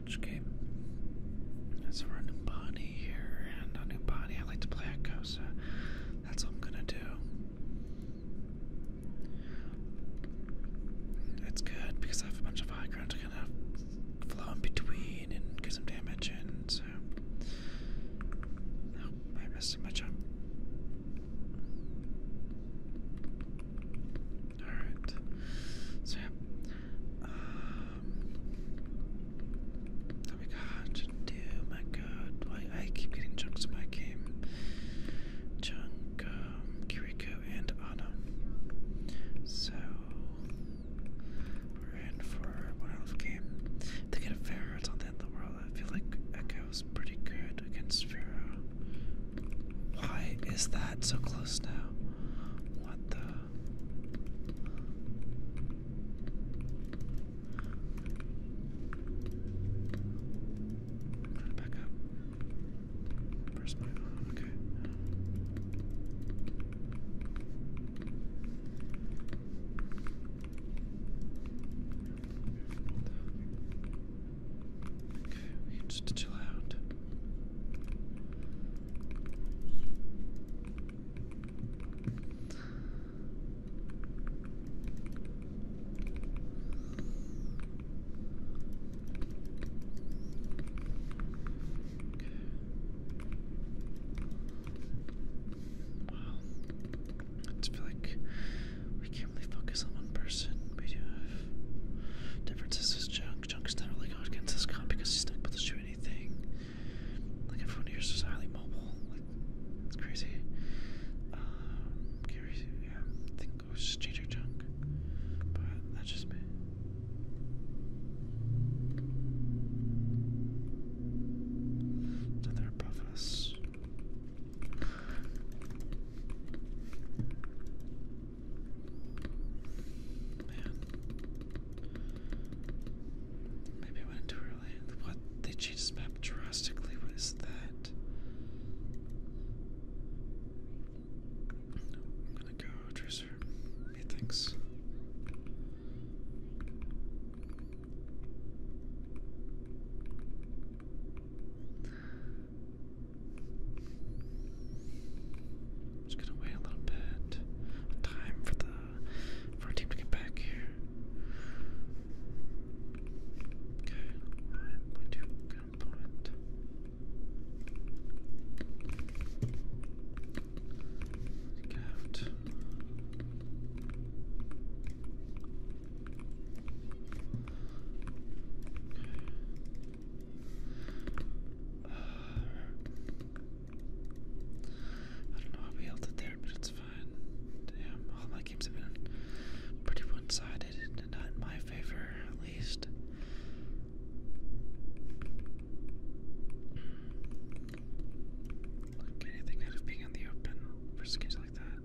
watch, okay? That's for new body here, and a new body. I like to play Echo, so that's what I'm gonna do. It's good because I have a bunch of high to kind of flow in between and get some damage in, so. No, I missed my jump. Alright. So, um, that we got My God, why I keep getting chunks of my game. Chunk, um, Kiriko, and Ana. So we're in for one out game. They get a Pharaoh. It's the end of the world. I feel like Echo's pretty good against Pharaoh. Why is that so close now? What the? back up. Where's my Okay. just chill out. Wow. like we can't really focus on one person. We do have differences with Junk. Junk is never really good against this con because he's not able to do anything like everyone here is just highly mobile. Like it's crazy. Um, yeah. I think it was just ginger junk, but that's just me. Another above us. Man. Maybe I went too early. What? They changed this map drastically. What is that? I'm gonna go, Tracer. Hey, thanks just gonna wait a little bit. Time for the for team to get back here. Okay, I'm going to look at opponent. Gaft. Okay. Uh, I don't know how we held it there, but it's fine. Damn, all my games have been pretty one-sided, and not in my favor, at least. Like anything out of being in the open for skins like that.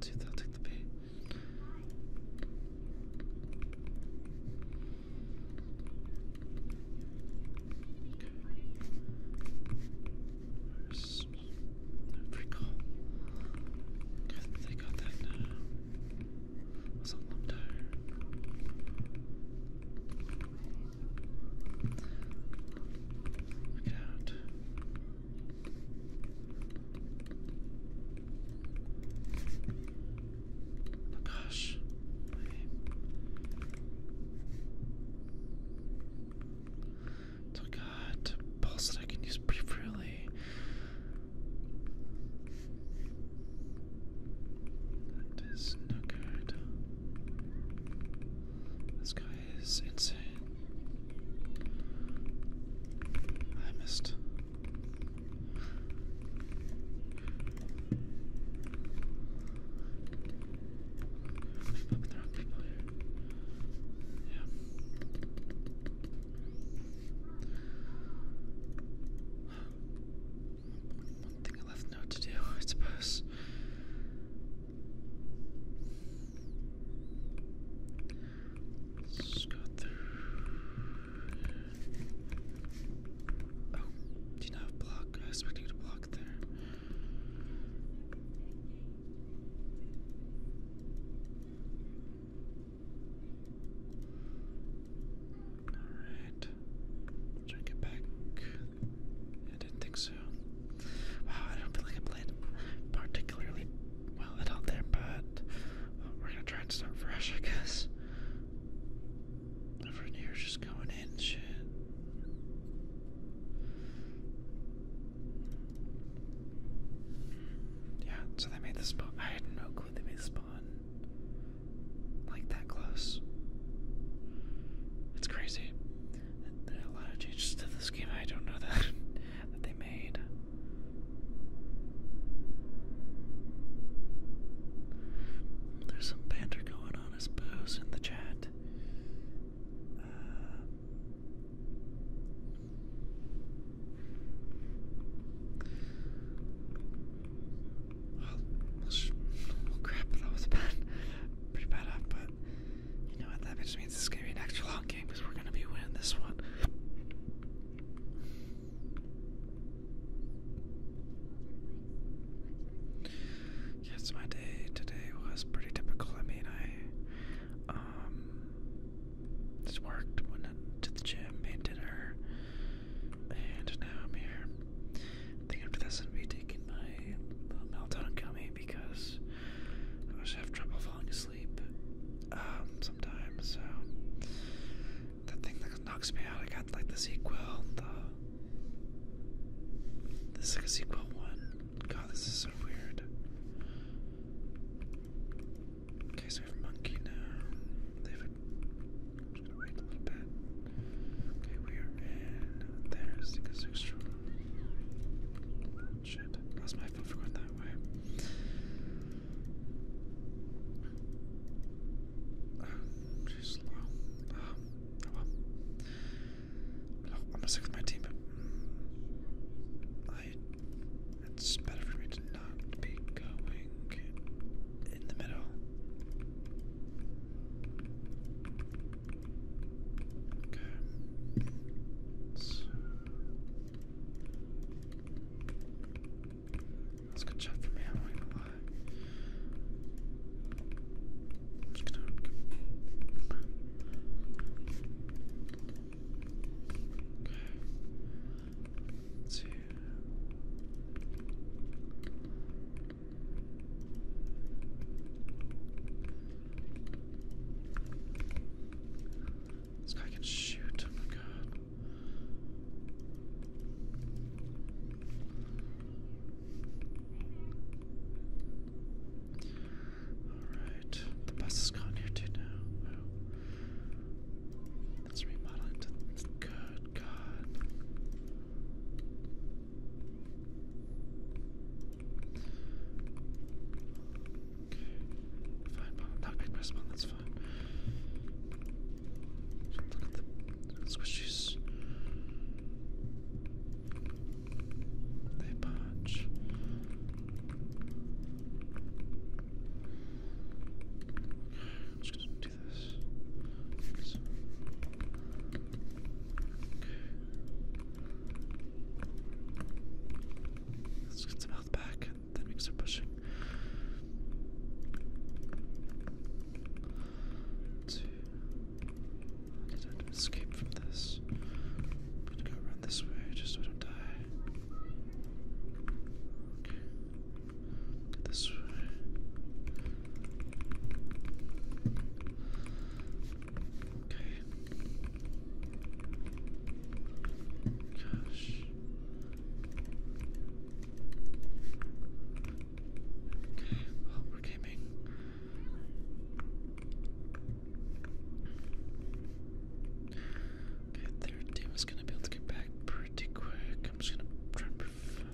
Dude, that'll take the bait. There's no they got that Was a lump tire. Look it out. Oh gosh. So I got that I can use pretty That is no good. This guy is insane. I missed. One thing I left to do, I suppose. Let's through. Oh, do you not block? I expected you to block there. Alright. Try to get back. I didn't think so. Wow, I don't feel like I played particularly well at all there, but we're gonna try and start fresh, I guess. Everyone just going in shit. Yeah, so they made this spawn. I had no clue they made the spawn like that close. It's crazy. a lot of changes to this game. I don't know that that they made. There's some banter going on, I suppose, in the chat. Uh, well, crap, that was bad. Pretty bad but you know what? That just means it's gonna be an extra long game because we're gonna be winning this one. Yes, my day today was pretty typical. I mean, I um just worked, went to the gym, made dinner, and now I'm here. I think after this, I'm gonna be taking my melatonin because I just have trouble falling asleep um, sometimes. So that thing that knocks me out. I got like the sequel, the this is sequel one. God, this is so weird. Okay, so we have monkey now. They have just gonna wait a little bit. Okay, we are in. There's the extra. Shit, lost my phone for that way. Uh, too slow. Uh, oh well. well. I'm gonna stick with my team, but I, it's better for me to not be going in the middle. Okay. So. That's good shot for me, I'm not gonna lie. i Two. This guy can shoot, oh my god. Alright, the bus is gone here too now. Oh. That's remodeling to good god. Okay. Fine, not big press that's fine look at the squishies. They punch. I'm just do this. Let's get some health back then we can start pushing. To, how did I escape from this? I'm gonna go around this way just so I don't die. Okay. This way. Okay. Gosh. Okay, we're gaming. Okay, third is gonna be able to get back pretty quick. I'm just gonna try and prove.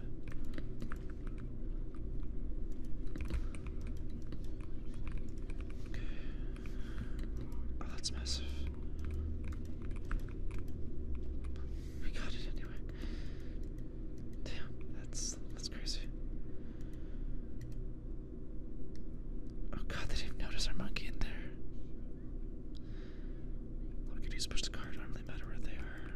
Oh, that's massive. We got it anyway. Damn, that's that's crazy. Oh god, they didn't notice our monkey in there. Look at he's pushed the car, it not really matter where they are.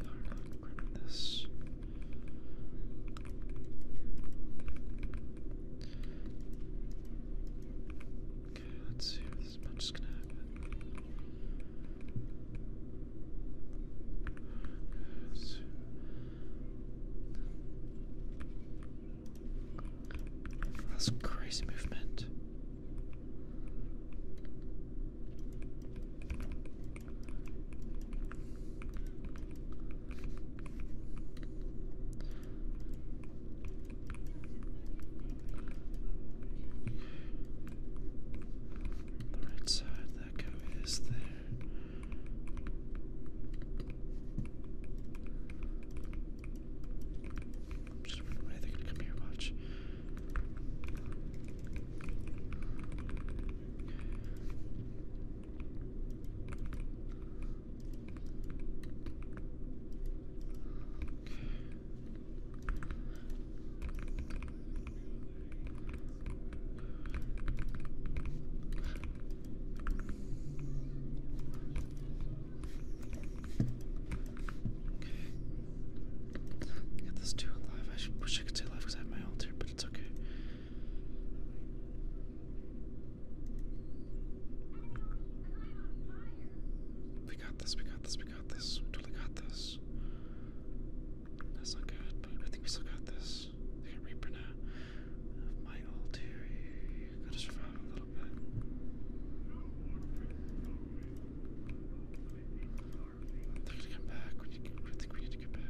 Grab this. Okay, let's see this much is gonna happen. that's crazy movement. The right side, that guy is there. Just run they're gonna come here, watch. Okay. Get two alive. I wish I could say alive because I have my altar, but it's okay. We got this, we got this, we got this. We totally got this. That's not good, but I think we still got this. They got Reaper now. my old theory. Gotta survive a little bit. They're to come back. We need to, we need to get back.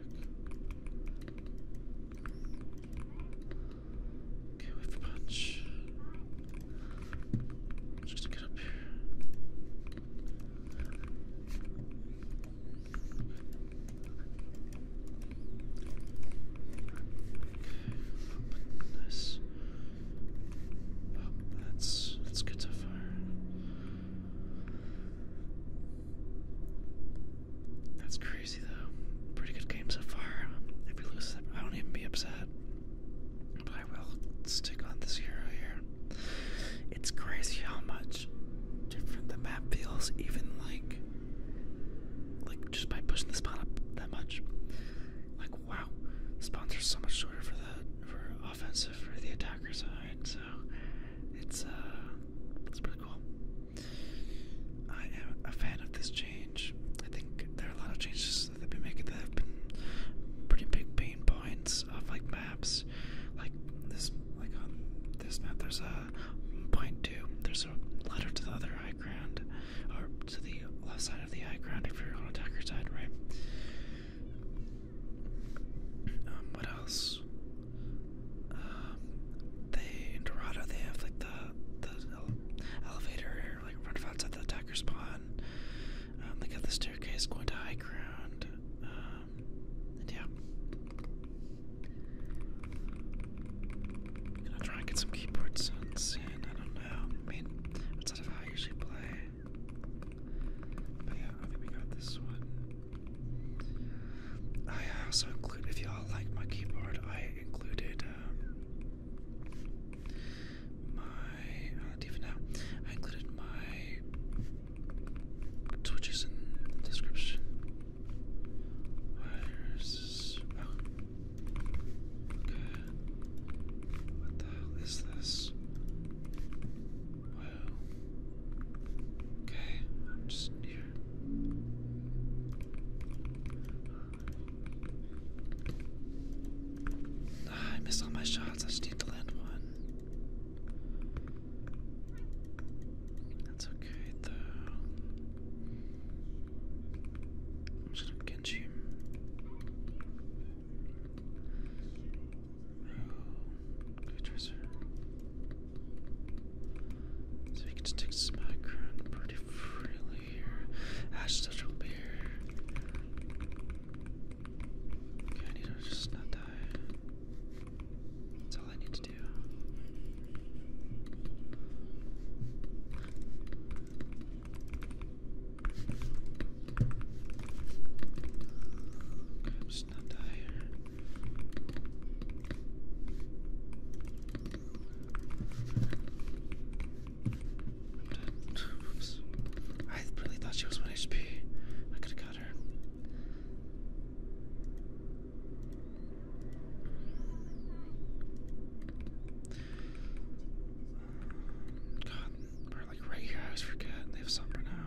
Okay, we have a Just get up here. Okay, this. that's that's good so far. That's crazy crazy though. Pretty good game so far. If we lose, I won't even be upset. But I will stick on this hero here. It's crazy how much different the map feels, even like, like just by pushing the spawn up that much. Like wow, spawns are so much shorter for the for offensive for the attacker side. So it's uh, it's pretty cool. I am a fan of this change. I think there are a lot of changes that they've been making that have been pretty big pain points of like maps. Like this, like um, this map, there's a point two. There's a ladder to the other high ground, or to the left side of the high ground if you're on attacker's side, right? Um, what else? Um, they they have like the the elevator, like right outside the attacker spawn. Um, they the staircase going to high ground. Um, yeah. Gonna try and get some keyboard in. I don't know. I mean, outside of how I usually play. But yeah, I think we got this one. I also include, if y'all like my keyboard, I included um, my even uh, now I included my Twitches in description. Where is oh. Okay. What the hell is this? Wow. Okay, I'm just here. I missed all my shots. I just need to land one. That's okay though. I'm just gonna get you. good tracer. So we can just take this background pretty freely. Ash touch will I need to just not die. That's all I need to do. just not die here. Oops. I really thought she was 1 HP. I could have caught her. God, we're like right here. I always forget. They have supper now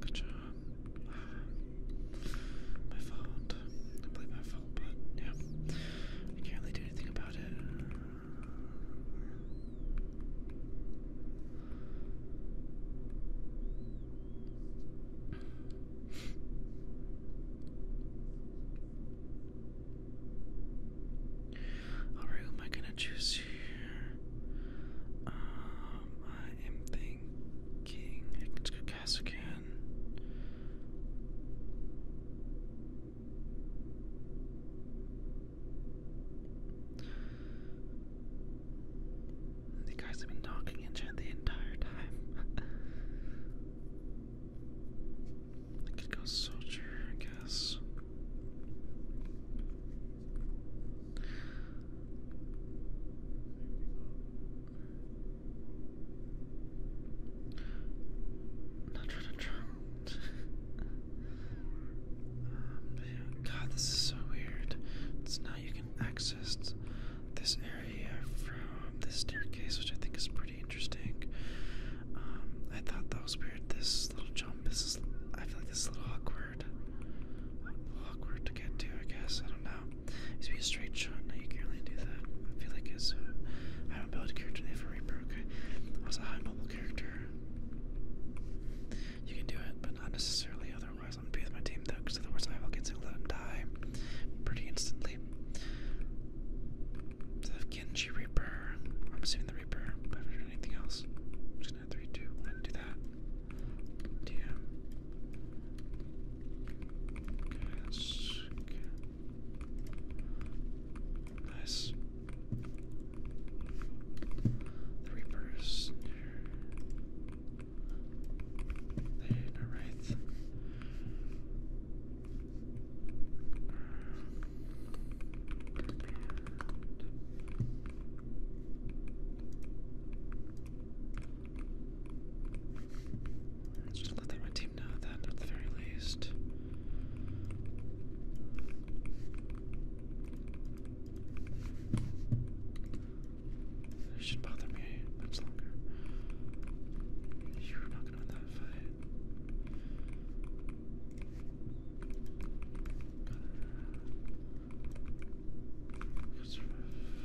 good job. My fault. I believe my fault, but yeah. I can't really do anything about it. Alright, who am I gonna choose here? Um, I am thinking let's go Cassican. The guys have been talking in chat the entire time. I could go soldier, I guess. Not trying to drown. Um, God, this is so weird. It's now you access this area from this staircase, which I think is pretty interesting. Um, I thought that was weird. This little jump This is, I feel like this is a little awkward. awkward to get to, I guess. I don't know. It's be a straight shot. Now you can't really do that. I feel like it's. I don't build a character. They have a Reaper. Okay, I was a high mobile character. You can do it, but not necessarily otherwise. I'm to be with my team though, because otherwise I'll get to let him die pretty instantly. So I Reaper. I'm assuming the Reaper, but I anything else. just gonna 3, do that. DM. okay. Nice. The Reaper's all right. let's just let my team know that at the very least. It should bother me much longer. You're not gonna win that fight.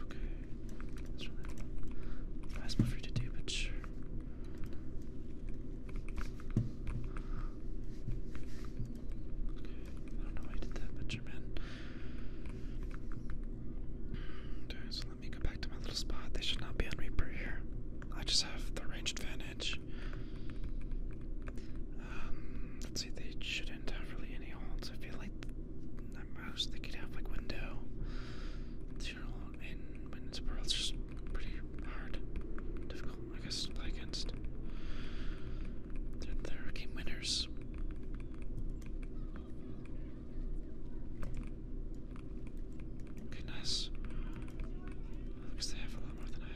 Okay. That's really last one for you to but sure. Okay. I don't know why you did that, but your man. Okay, so let me go back to my little spot. They should not be on Reaper here. I just have the range advantage. Um, let's see, they shouldn't have really any holds. I feel like at most they could have like window. Zero in winds or It's just pretty hard. Difficult, I guess, to play against. they're game winners. Okay, nice. At they have a lot more than I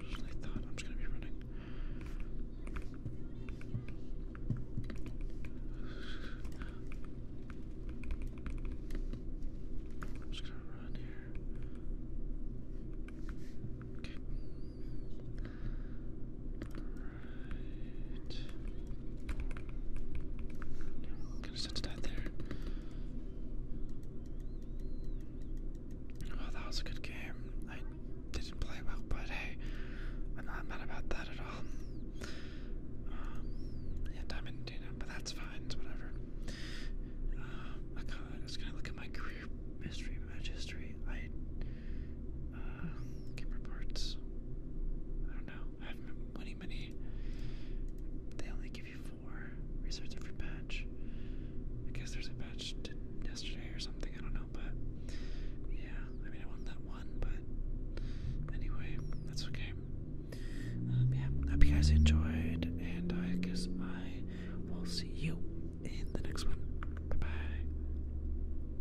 originally thought. I'm just gonna be running. I'm just gonna run here. Okay. Right. I'm to that there. Oh, that was a good game. I didn't play well, but hey, I'm not mad about that at all. Um, yeah, Diamond Dina, but that's fine, it's whatever. Um, I, kinda, gonna look at my career history, match history. I uh, gamer I don't know. I have many, many. They only give you four research every patch. I guess there's a patch yesterday or something. I don't know, but yeah. I mean, I want that one, but anyway, that's okay. Um, yeah. Hope you guys enjoyed, and I guess I will see you in the next one. Bye bye.